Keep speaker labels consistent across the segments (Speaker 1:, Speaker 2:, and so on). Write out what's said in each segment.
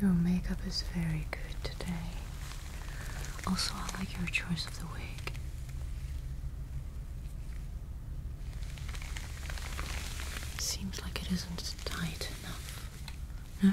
Speaker 1: Your makeup is very good today. Also, I like your choice of the wig. Seems like it isn't tight enough. No?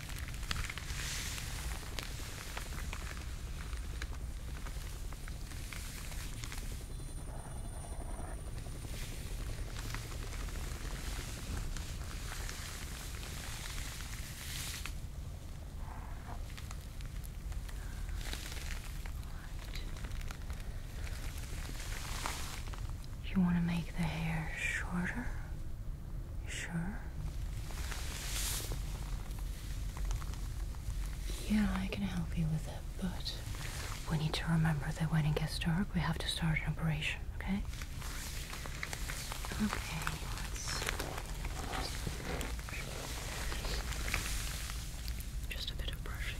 Speaker 1: You want to make the hair shorter Sure. Yeah, I can help you with it, but we need to remember that when it gets dark, we have to start an operation, okay? Okay, let's. Just a bit of brushing.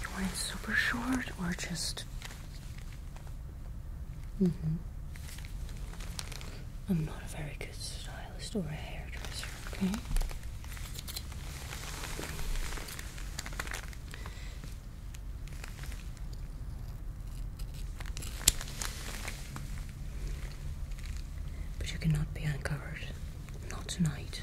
Speaker 1: You want it super short or just? Mm hmm. I'm not a very good stylist or a hairdresser, okay? But you cannot be uncovered. Not tonight.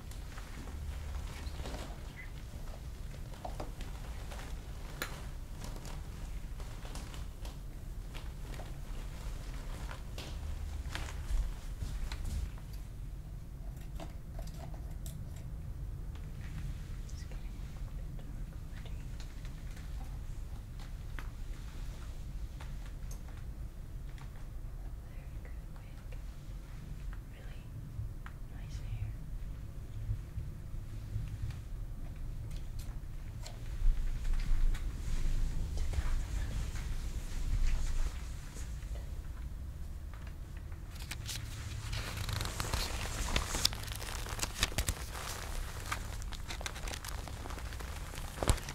Speaker 1: It's getting a bit dark already. Very good wig. Really nice hair. Took out the money. Good.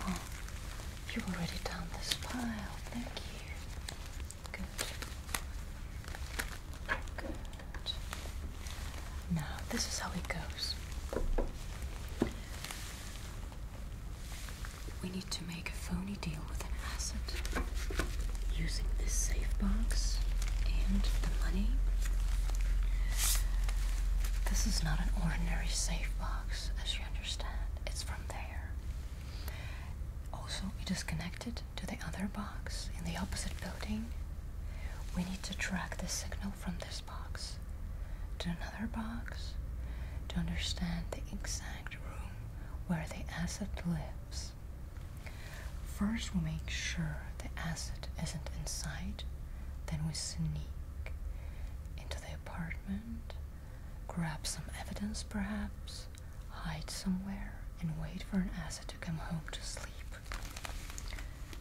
Speaker 1: Oh, you've already done this pile. Thank you. Good. Good. Now, this is how it goes. We need to make a phony deal with an asset. Using this safe box and the money. This is not an ordinary safe box, as you understand. It's from there. Also, it is connected to the other box in the opposite building. We need to track the signal from this box to another box to understand the exact room where the acid lives. First, we make sure the acid isn't inside, then, we sneak into the apartment, grab some evidence perhaps, hide somewhere, and wait for an acid to come home to sleep.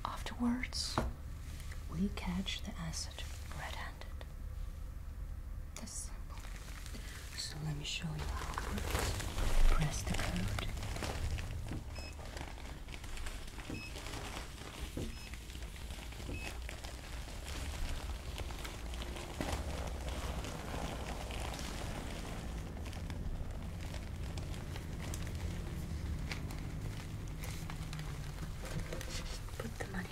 Speaker 1: Afterwards, we catch the acid red handed so let me show you how it works. Press the code. Put the money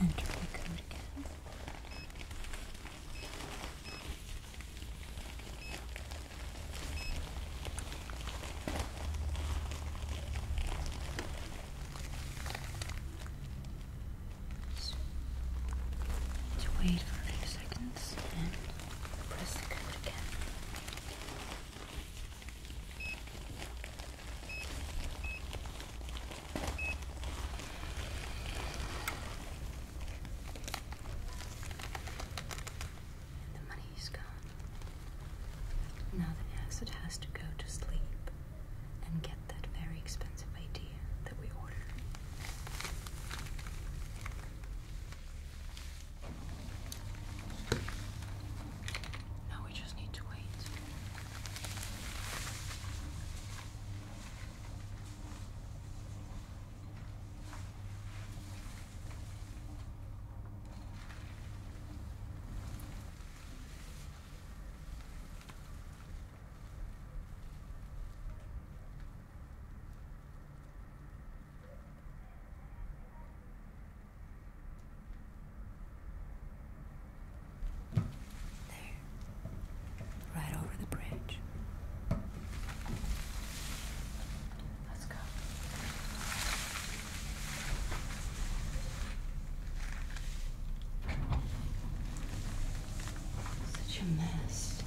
Speaker 1: Enter the code again. Just wait for a few seconds press the cover again. the money is gone. Now the acid has to go to sleep and get that very expensive idea that we ordered. Now we just need to wait. There. Right over the bridge. Let's go. Such a mess.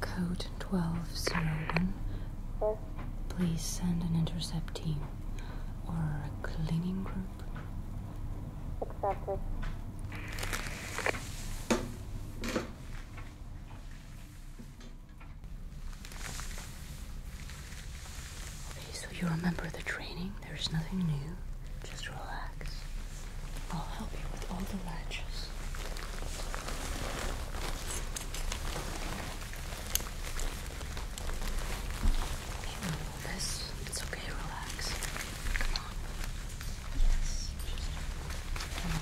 Speaker 1: Code 1201. Please send an intercept team or a cleaning group. Accepted. Okay, so you remember the training. There's nothing new. Just relax. I'll help you with all the latches. You know this. It's okay, relax. Come on.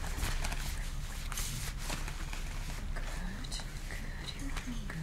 Speaker 1: Yes. Good, good.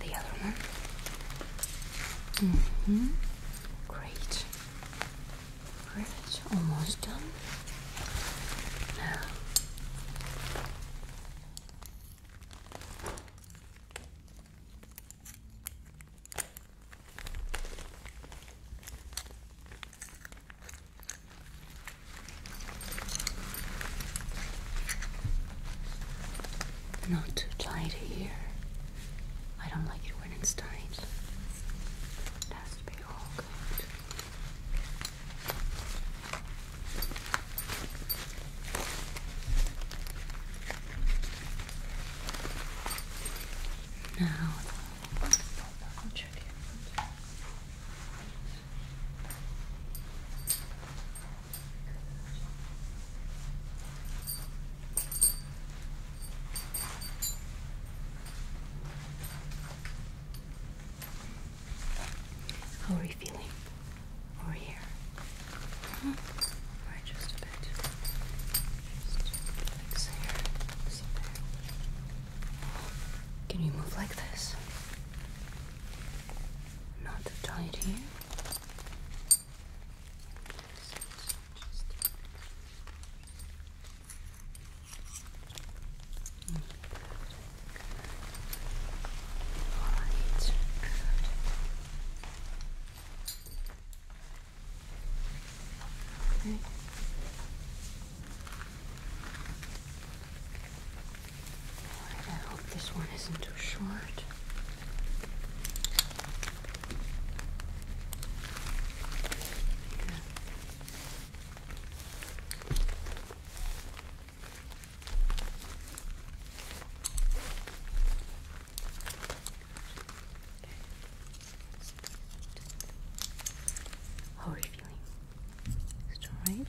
Speaker 1: the other one. Mm -hmm. Great. Great. Almost done. Now. Not too tight here. I don't like it when it's tight. It has to be all good. Now, how are you feeling? Over here? Mm just a bit. Can you move like this? not too tight here. Okay. I hope this one isn't too short. How are you feeling? Is it alright?